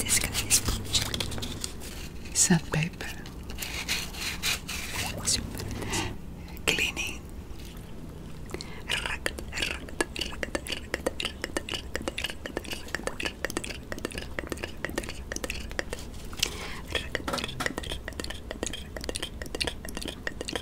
This guy is Sandpaper. Super. Cleaning.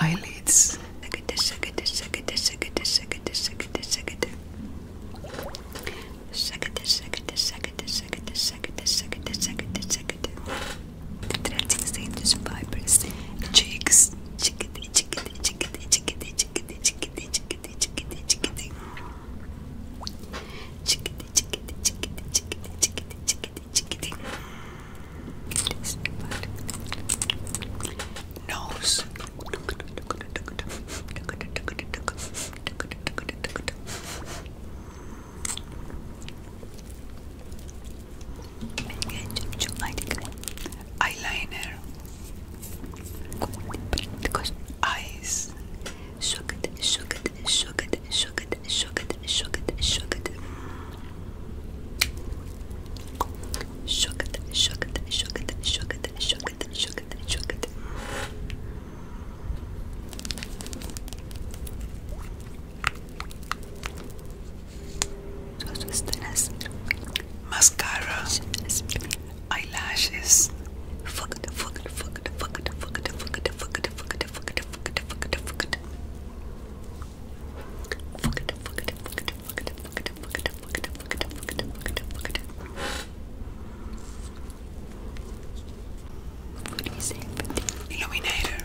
Eyelids. Cheeks. Chickity, chickity, chickity, chickity, chickity, chickity, chickity, chickadee, chickadee, chickadee. Chickadee, chickadee, chickadee, chickadee, chickadee, chickadee, chickadee. Yes, Nose. Good eyeliner because eyes sugar sugar sugar sugar sugar sugar sugar sugar sugar sugar sugar sugar sugar sugar sus pestañas mascara, eyelashes. Illuminator.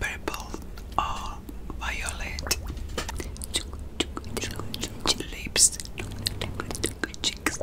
Purple or violet lips, cheeks,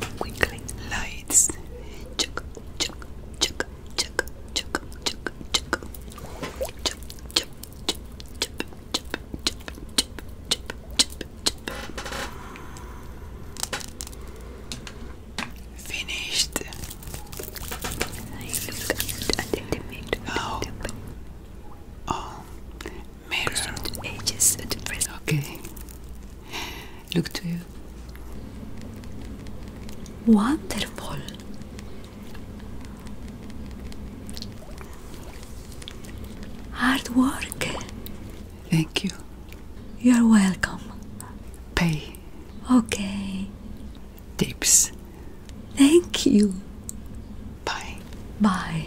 Twinkling lights. Chuck, chuck, chuck, chuck, chuck, chuck, chuck. Chup, chup, chup, chup, chup, chup, chup, chup, chup, Finished. I married Okay. Look to you. Wonderful. Hard work. Thank you. You're welcome. Pay. Okay. Tips. Thank you. Bye. Bye.